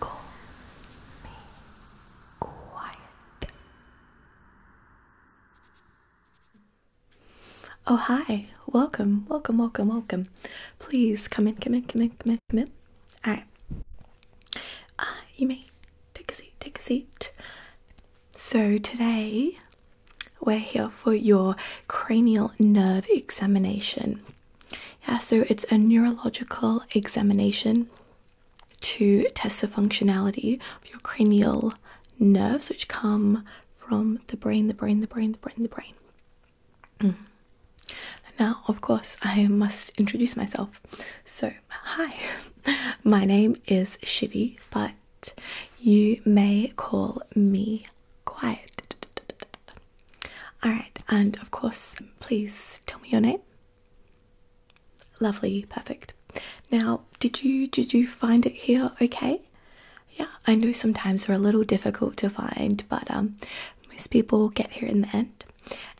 Call me quiet. Oh, hi. Welcome, welcome, welcome, welcome. Please come in, come in, come in, come in, come in. All right. Uh, you may take a seat, take a seat. So, today we're here for your cranial nerve examination. Yeah, so it's a neurological examination to test the functionality of your cranial nerves, which come from the brain, the brain, the brain, the brain, the brain. Mm-hmm. Now, of course, I must introduce myself. So, hi, my name is Shivi, but you may call me quiet. Alright, and of course, please tell me your name. Lovely, perfect. Now, did you did you find it here okay? Yeah, I know sometimes they are a little difficult to find, but um, most people get here in the end.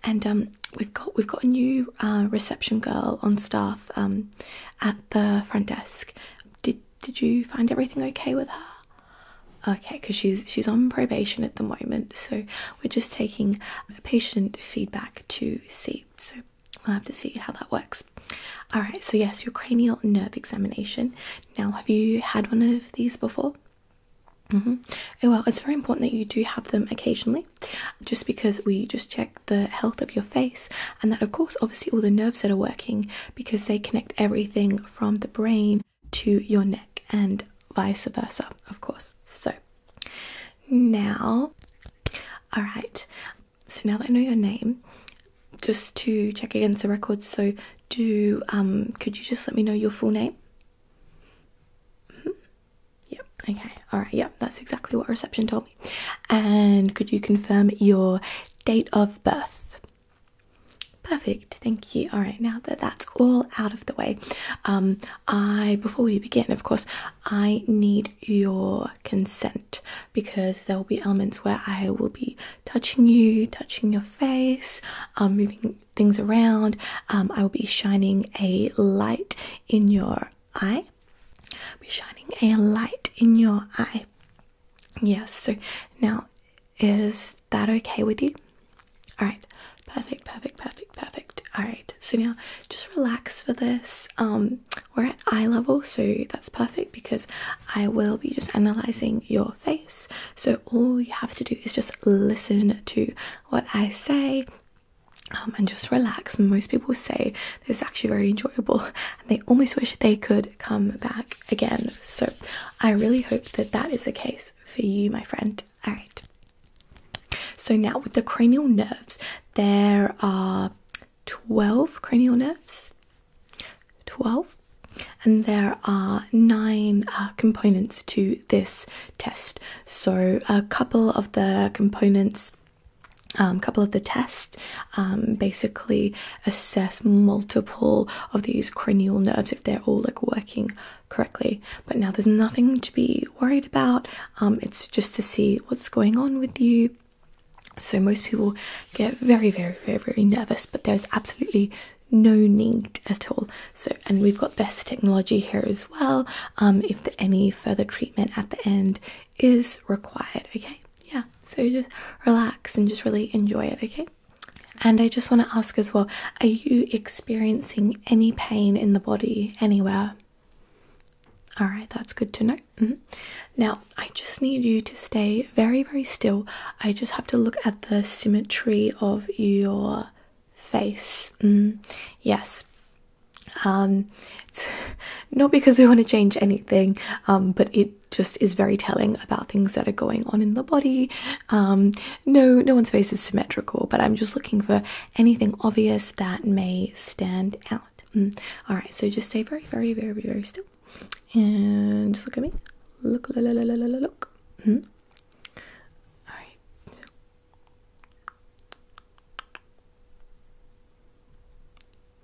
And um, we've got we've got a new uh, reception girl on staff um, at the front desk. Did did you find everything okay with her? Okay, because she's she's on probation at the moment, so we're just taking patient feedback to see. So we'll have to see how that works. All right. So yes, your cranial nerve examination. Now, have you had one of these before? -hmm. well, it's very important that you do have them occasionally, just because we just check the health of your face, and that of course, obviously, all the nerves that are working because they connect everything from the brain to your neck and vice versa, of course. So now, all right, so now that I know your name, just to check against the records, so do um, could you just let me know your full name? Mm-hmm. Yep, okay, all right, yep, that's exactly what reception told me. And could you confirm your date of birth? Perfect, thank you. All right, now that that's all out of the way, um, I before we begin, of course, I need your consent because there will be elements where I will be touching you, touching your face, um, moving things around. Um, I will be shining a light in your eye. I'll be shining a light in your eye. Yes, so now is that okay with you? Alright, perfect, perfect, perfect, perfect. Alright, so now just relax for this. Um, we're at eye level, so that's perfect because I will be just analyzing your face. So all you have to do is just listen to what I say. Um, and just relax. Most people say this is actually very enjoyable, and they almost wish they could come back again. So I really hope that that is the case for you, my friend. All right. So now with the cranial nerves, there are 12 cranial nerves. 12. And there are nine uh, components to this test. So a couple of the components, a um, couple of the tests um, basically assess multiple of these cranial nerves if they're all like working correctly. But now there's nothing to be worried about. Um, it's just to see what's going on with you. So most people get very, very, very, very nervous, but there's absolutely no need at all. So, and we've got best technology here as well. Um, if any further treatment at the end is required, okay, yeah. So just relax and just really enjoy it, okay. And I just want to ask as well are you experiencing any pain in the body anywhere? All right, that's good to know. Mm-hmm. Now, I just need you to stay very, very still. I just have to look at the symmetry of your face. Mm-hmm. yes. Um, not because we want to change anything, um, but it it just is very telling about things that are going on in the body. Um, no, no one's face is symmetrical, but I'm just looking for anything obvious that may stand out. Mm. All right, so just stay very, very, very, very still, and just look at me. Look, look, look, look, look. look. Mm. All right.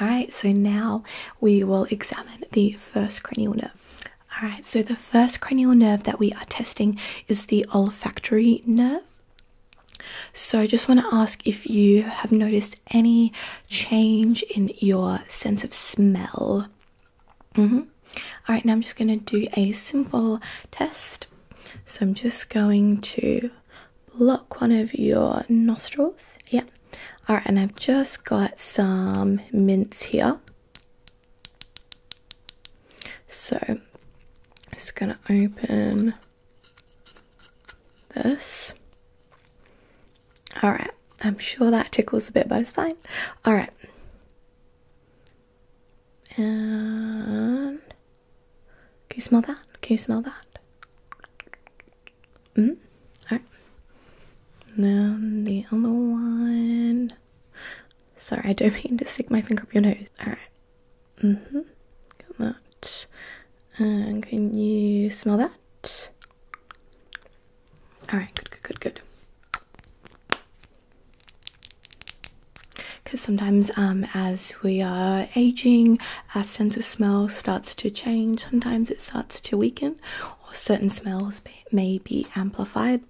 Alright, so now we will examine the first cranial nerve. Alright, so the first cranial nerve that we are testing is the olfactory nerve. So, I just want to ask if you have noticed any change in your sense of smell. Mm-hmm. All right, now I'm just going to do a simple test. So, I'm just going to block one of your nostrils. Yeah. All right, and I've just got some mints here. So i just going to open this. All right, I'm sure that tickles a bit, but it's fine. All right. And can you smell that? Can you smell that? Mm hmm. Alright. Now the other one. Sorry, I don't mean to stick my finger up your nose. Alright. Mm hmm. Got that. And can you smell that? Alright, good, good, good, good. Because sometimes, um, as we are aging our sense of smell starts to change. Sometimes it starts to weaken, or certain smells may, be amplified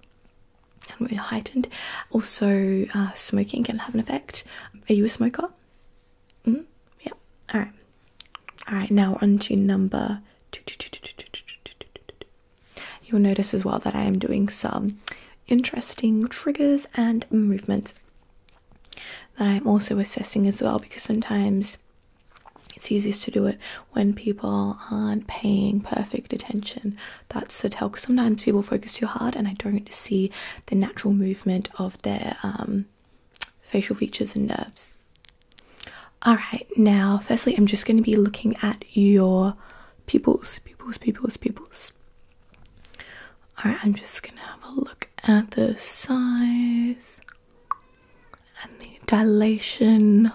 and we're heightened. Also, smoking can have an effect. Are you a smoker? -hmm. Yeah. All right. All right. Now on to number. You'll notice as well that I am doing some interesting triggers and movements that I'm also assessing as well because sometimes it's easiest to do it when people aren't paying perfect attention. That's the tell because sometimes people focus too hard and I don't see the natural movement of their um, facial features and nerves. Alright, now, firstly, I'm just going to be looking at your pupils, pupils, pupils, pupils. Alright, I'm just going to have a look at the size and the dilation.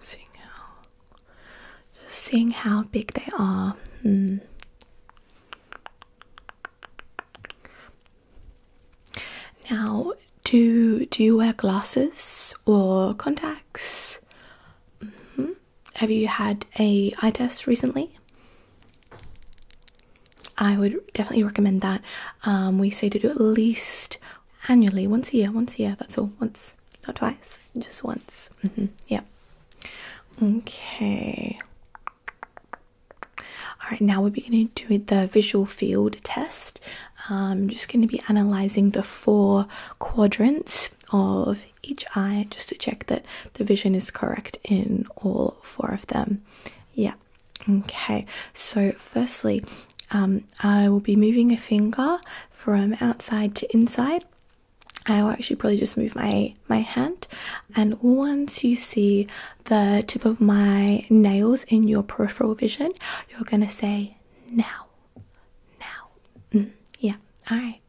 Seeing how, just seeing how big they are. Hmm. Now, do do you wear glasses or contacts? Mm-hmm have you had a eye test recently? I would definitely recommend that. Um, we say to do at least annually, once a year, once a year. That's all. Once, not twice, just once. Mm Yeah. Okay. All right. Now we're going to do the visual field test. I'm um, just going to be analyzing the four quadrants of each eye just to check that the vision is correct in all four of them. Yeah, okay. So, firstly, um, I will be moving a finger from outside to inside. I will actually probably just move my my hand, and once you see the tip of my nails in your peripheral vision, you're gonna say now now. Mm-hmm. Yeah, alright.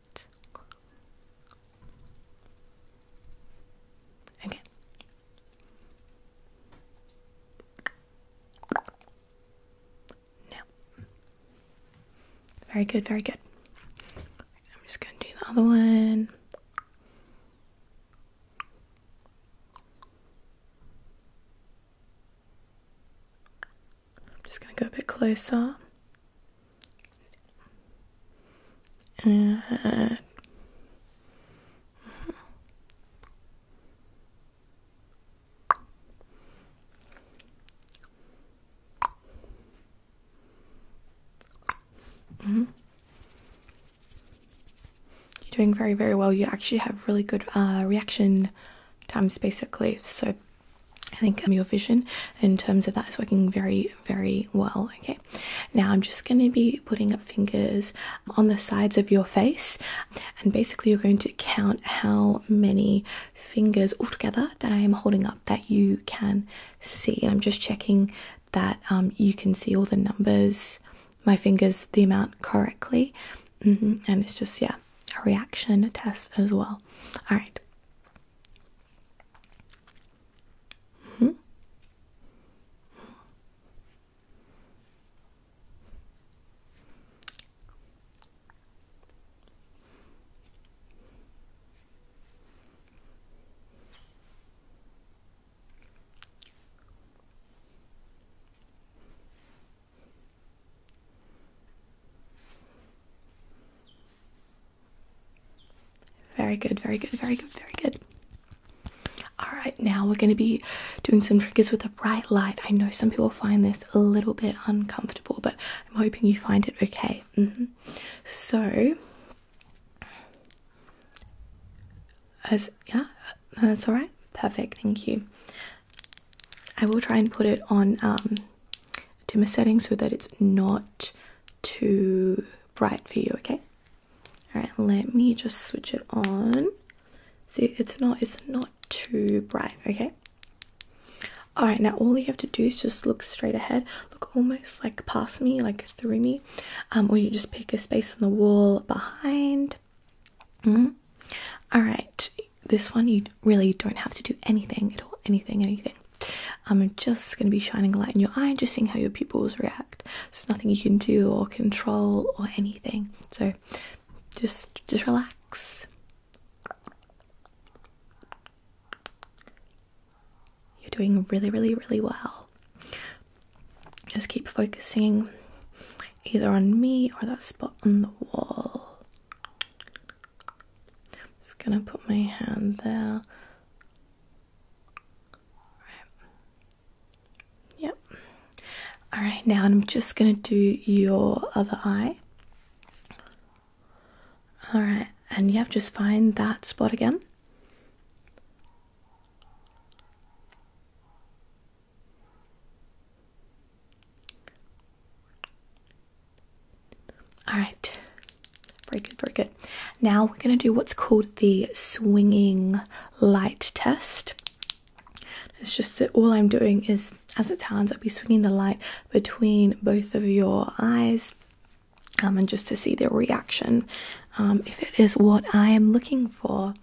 Okay. Now. Very good, very good. I'm just going to do the other one. I'm just going to go a bit closer. And mm-hmm. You're doing very, very well. You actually have really good uh, reaction times, basically. So I think your vision in terms of that is working very, very well. Okay, now I'm just going to be putting up fingers on the sides of your face, and basically, you're going to count how many fingers altogether that I am holding up that you can see. I'm just checking that um, you can see all the numbers, my fingers, the amount correctly. Mm-hmm. And it's just, yeah, a reaction test as well. All right. -hmm. Very good, very good, very good, very good. All right, now we're going to be doing some triggers with a bright light. I know some people find this a little bit uncomfortable, but I'm hoping you find it okay. Mm-hmm. So, as yeah, uh, that's all right. Perfect, thank you. I will try and put it on um, a dimmer setting so that it's not too bright for you, okay? Alright, let me just switch it on. See, it's not it's not too bright, okay? Alright, now all you have to do is just look straight ahead, look almost like past me, like through me, um, or you just pick a space on the wall behind. -hmm. Alright, this one you really don't have to do anything at all, anything, anything. Um, I'm just going to be shining a light in your eye, just seeing how your pupils react. There's nothing you can do or control or anything. So just just relax. You're doing really, really, really well. Just keep focusing either on me or that spot on the wall. I'm just gonna put my hand there. Yep. All right, now I'm just gonna do your other eye. All right, and yeah, just find that spot again. All right, very good, very good. Now we're going to do what's called the swinging light test. It's just that all I'm doing is, as it turns, I'll be swinging the light between both of your eyes um, and just to see the reaction um, if it is what I am looking for.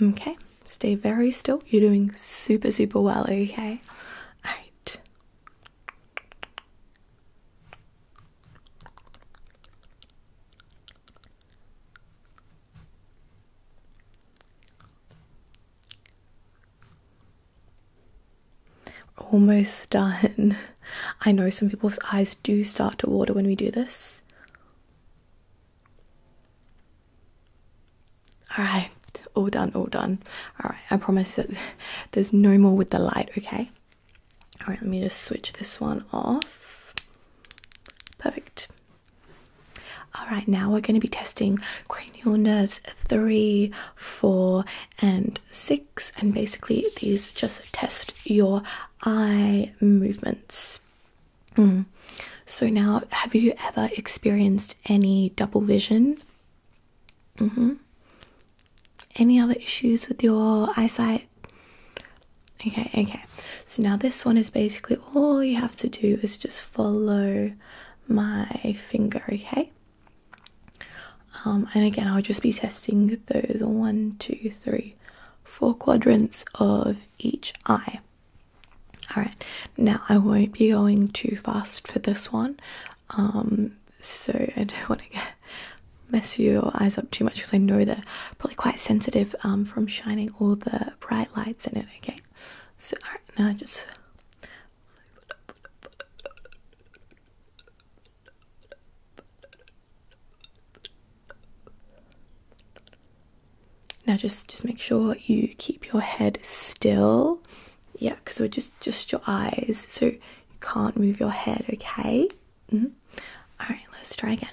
Okay, Stay very still. You're doing super, super well, okay? Alright. Almost done. I know some people's eyes do start to water when we do this. Alright, all done, all done. Alright, I promise that there's no more with the light, okay? Alright, let me just switch this one off. Perfect. Alright, now we're going to be testing cranial nerves 3, 4, and 6. And basically, these just test your eye movements. Hmm. So, now have you ever experienced any double vision? Mm-hmm. Any other issues with your eyesight? Okay, okay. So now this one is basically all you have to do is just follow my finger, okay? Um, and again, I'll just be testing those one, two, three, four quadrants of each eye. All right, now I won't be going too fast for this one, um, so I don't want to mess your eyes up too much because I know they're probably quite sensitive um, from shining all the bright lights in it. Okay, so all right, now I just. Now just just make sure you keep your head still. Yeah, because we're just just your eyes, so you can't move your head. Okay. Mm-hmm. All right. Let's try again.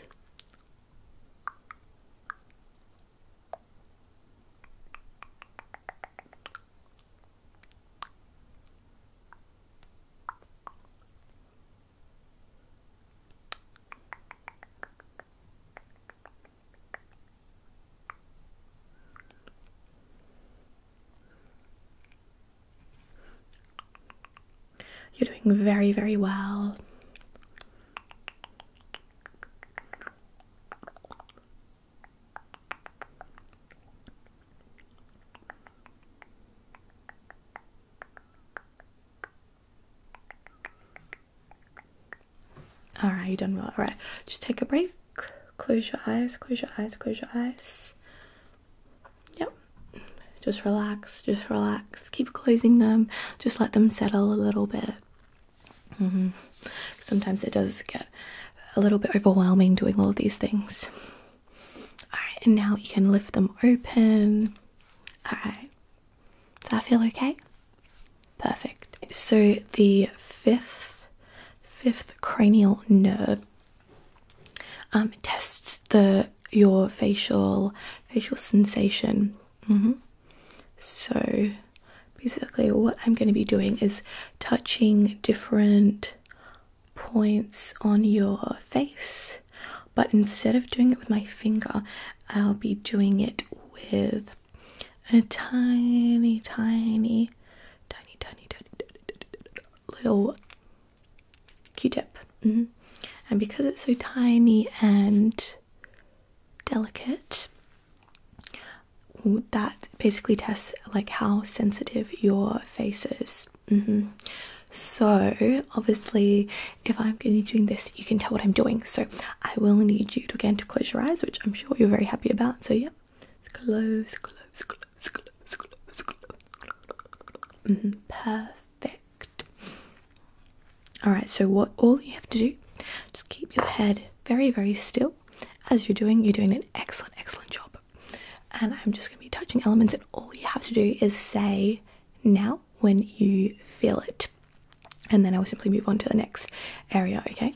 You're doing very, very well. All right, you done well. All right, just take a break. Close your eyes. Close your eyes. Close your eyes. Yep. Just relax. Just relax. Keep closing them. Just let them settle a little bit. Mm-hmm. Sometimes it does get a little bit overwhelming doing all of these things. All right, and now you can lift them open. All right, does that feel okay? Perfect. So the fifth fifth cranial nerve um, tests the your facial facial sensation. Mm-hmm. So basically, what I'm going to be doing is touching different points on your face, but instead of doing it with my finger, I'll be doing it with a tiny, tiny, tiny, tiny, tiny, tiny, little Q-tip, and because it's so tiny and delicate, that basically tests like how sensitive your face is. So obviously, if I'm going to be doing this you can tell what I'm doing. So I will need you to again to close your eyes, which I'm sure you're very happy about. So yeah, let's close, close, close, close, close, close. Mm-hmm. Perfect. All right. So what all you have to do, just keep your head very, very still. As you're doing, you're doing an excellent, excellent job. And I'm just going to be touching elements, and all you have to do is say now when you feel it and then I will simply move on to the next area, okay?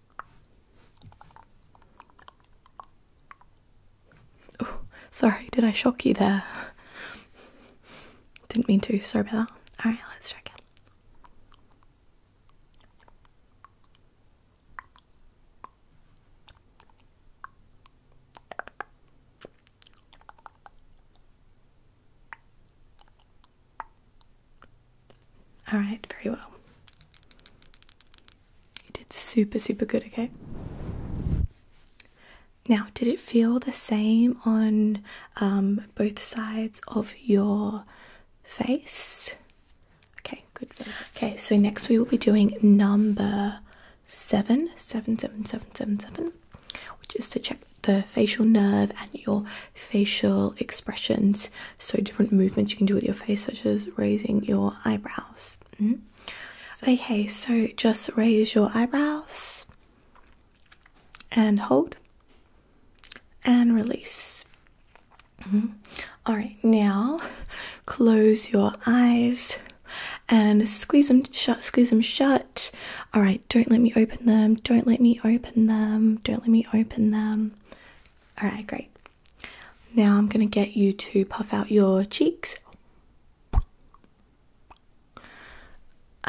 Oh, sorry, did I shock you there? Didn't mean to, sorry about that. Alright, let's check it. Alright, very well. You did super, super good, okay? Now, did it feel the same on um, both sides of your face? Okay, good. Okay, so next we will be doing number seven, seven, seven, seven, seven, seven, which is to check the facial nerve and your facial expressions so different movements you can do with your face, such as raising your eyebrows. Hmm? Okay, so just raise your eyebrows and hold and release. Hmm? All right, now close your eyes and squeeze them shut, squeeze them shut. All right, don't let me open them, don't let me open them, don't let me open them. All right, great. Now I'm going to get you to puff out your cheeks.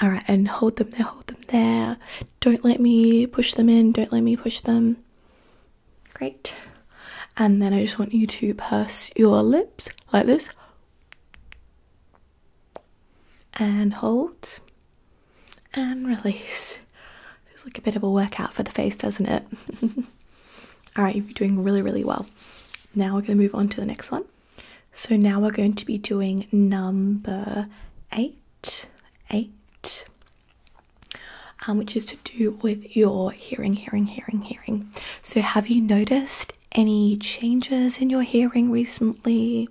All right, and hold them there, hold them there. Don't let me push them in, don't let me push them. Great. And then I just want you to purse your lips like this. And hold and release. Feels like a bit of a workout for the face, doesn't it? All right, you're doing really, really well. Now we're going to move on to the next one. So now we're going to be doing number eight, eight, um, which is to do with your hearing, hearing, hearing, hearing. So have you noticed any changes in your hearing recently?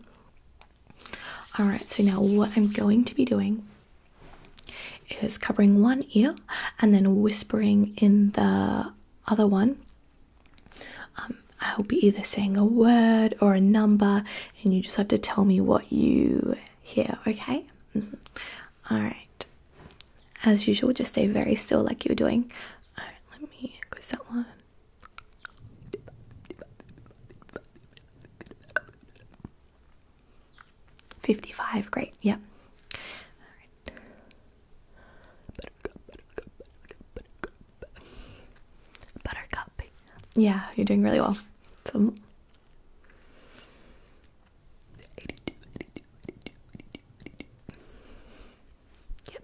All right, so now what I'm going to be doing is covering one ear and then whispering in the other one. Um, I'll be either saying a word or a number, and you just have to tell me what you hear, okay? Mm-hmm. All right. As usual, just stay very still like you're doing. let me quiz that one. 55, great, yep. Buttercup, Yeah, you're doing really well. So, Yep.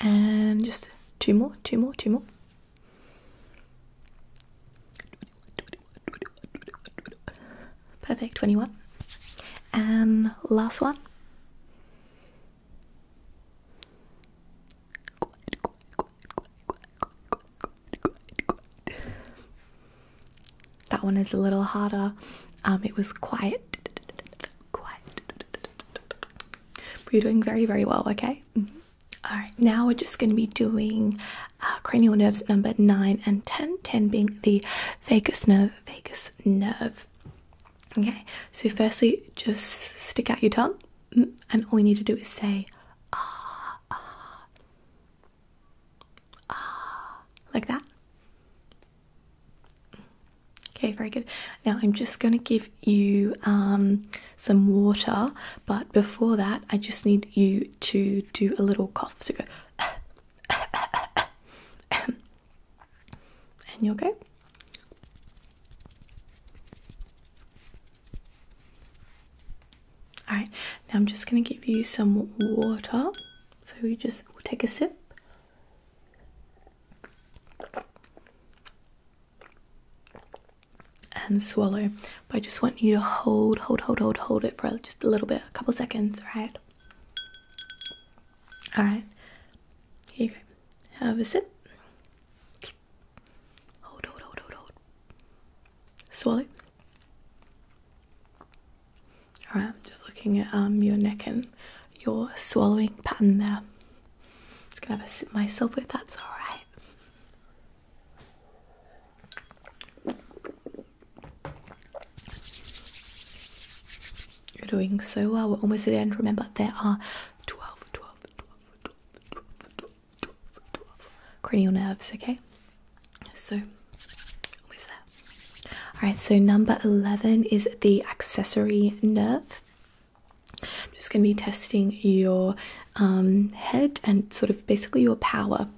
And just two more, two more, two more. Perfect, 21. And last one. That one is a little harder. Um, it was quiet we are doing very, very well, okay? Mm-hmm. All right, now we're just going to be doing uh, cranial nerves number 9 and 10, 10 being the vagus nerve, vagus nerve. Okay, so firstly, just stick out your tongue, mm, and all you need to do is say ah, ah, ah, like that. Okay, very good. Now I'm just going to give you um, some water, but before that, I just need you to do a little cough. So go, and you okay? All right. Now I'm just going to give you some water. So you just we'll take a sip and swallow. But I just want you to hold, hold, hold, hold, hold it for just a little bit, a couple seconds, alright? Alright. Here you go. Have a sip. Hold, hold, hold, hold, hold. Swallow. Alright, I'm just looking at um your neck and your swallowing pattern there. Just gonna have a sip myself if that's all right. You're doing so well. We're almost at the end. Remember, there are 12, cranial nerves, okay? So, almost there. All right, so number 11 is the accessory nerve. I'm just going to be testing your um, head and sort of basically your power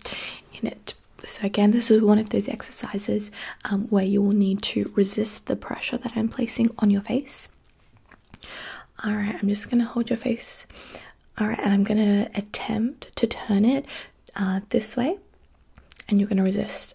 in it. So, again, this is one of those exercises um, where you will need to resist the pressure that I'm placing on your face. All right, I'm just going to hold your face. All right, and I'm going to attempt to turn it uh, this way, and you're going to resist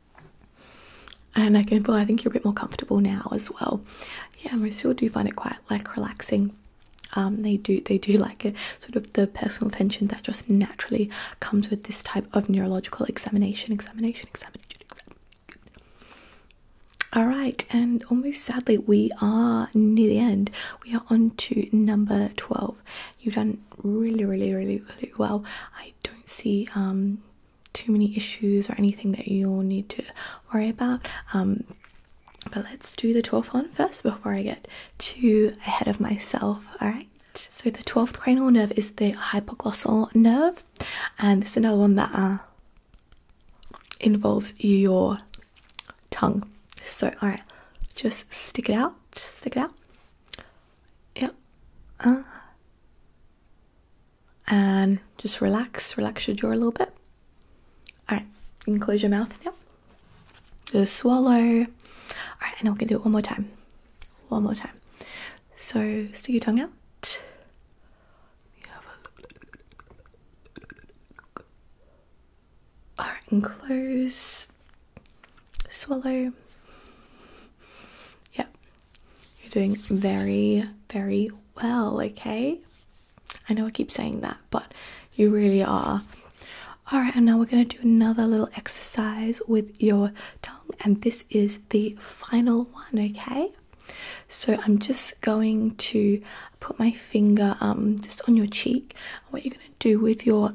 and I can feel I think you're a bit more comfortable now as well. Yeah, most people do find it quite like relaxing. Um, they do they do like it, sort of the personal tension that just naturally comes with this type of neurological examination, examination, examination. examination. All right, and almost sadly, we are near the end. We are on to number 12. You've done really, really, really, really well. I don't see um, too many issues or anything that you'll need to worry about. Um, but let's do the 12th one first before I get too ahead of myself, alright? So the 12th cranial nerve is the hypoglossal nerve, and this is another one that uh, involves your tongue. So, alright, just stick it out, stick it out, yeah uh. and just relax relax your jaw a little bit all right you can close your mouth Yeah. just swallow all right and we am gonna do it one more time one more time so stick your tongue out all right and close swallow. Yeah, you're doing very, very well, okay? I know I keep saying that, but you really are. All right, and now we're going to do another little exercise with your tongue, and this is the final one, okay? So I'm just going to put my finger um just on your cheek. What you're going to do with your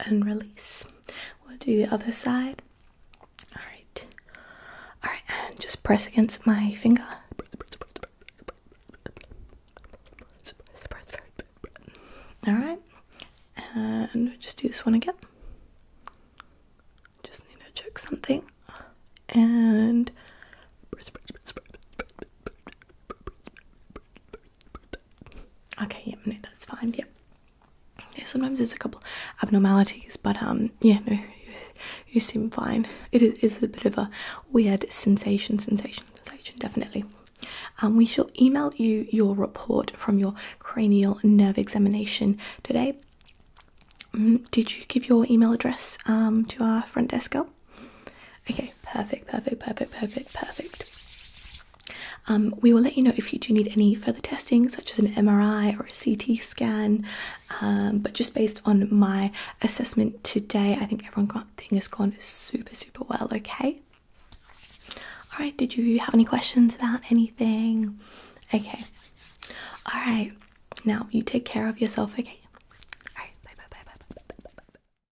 and release. We'll do the other side. Alright. Alright, and just press against my finger. Alright. And just do this one again. Just need to check something. And Okay, yeah, no, that's fine. Yeah. yeah, sometimes there's a couple abnormalities, but um, yeah, no, you, seem fine. It is it's a bit of a weird sensation, sensation, sensation, definitely. And um, we shall email you your report from your cranial nerve examination today. Mm, did you give your email address um to our front desk girl? Okay, perfect, perfect, perfect, perfect, perfect. Um, we will let you know if you do need any further testing, such as an MRI or a CT scan. Um, but just based on my assessment today, I think everything has gone super, super well. Okay. All right. Did you have any questions about anything? Okay. All right. Now you take care of yourself. Okay. All right. Bye. Bye. Bye. Bye. Bye. Bye. bye, bye.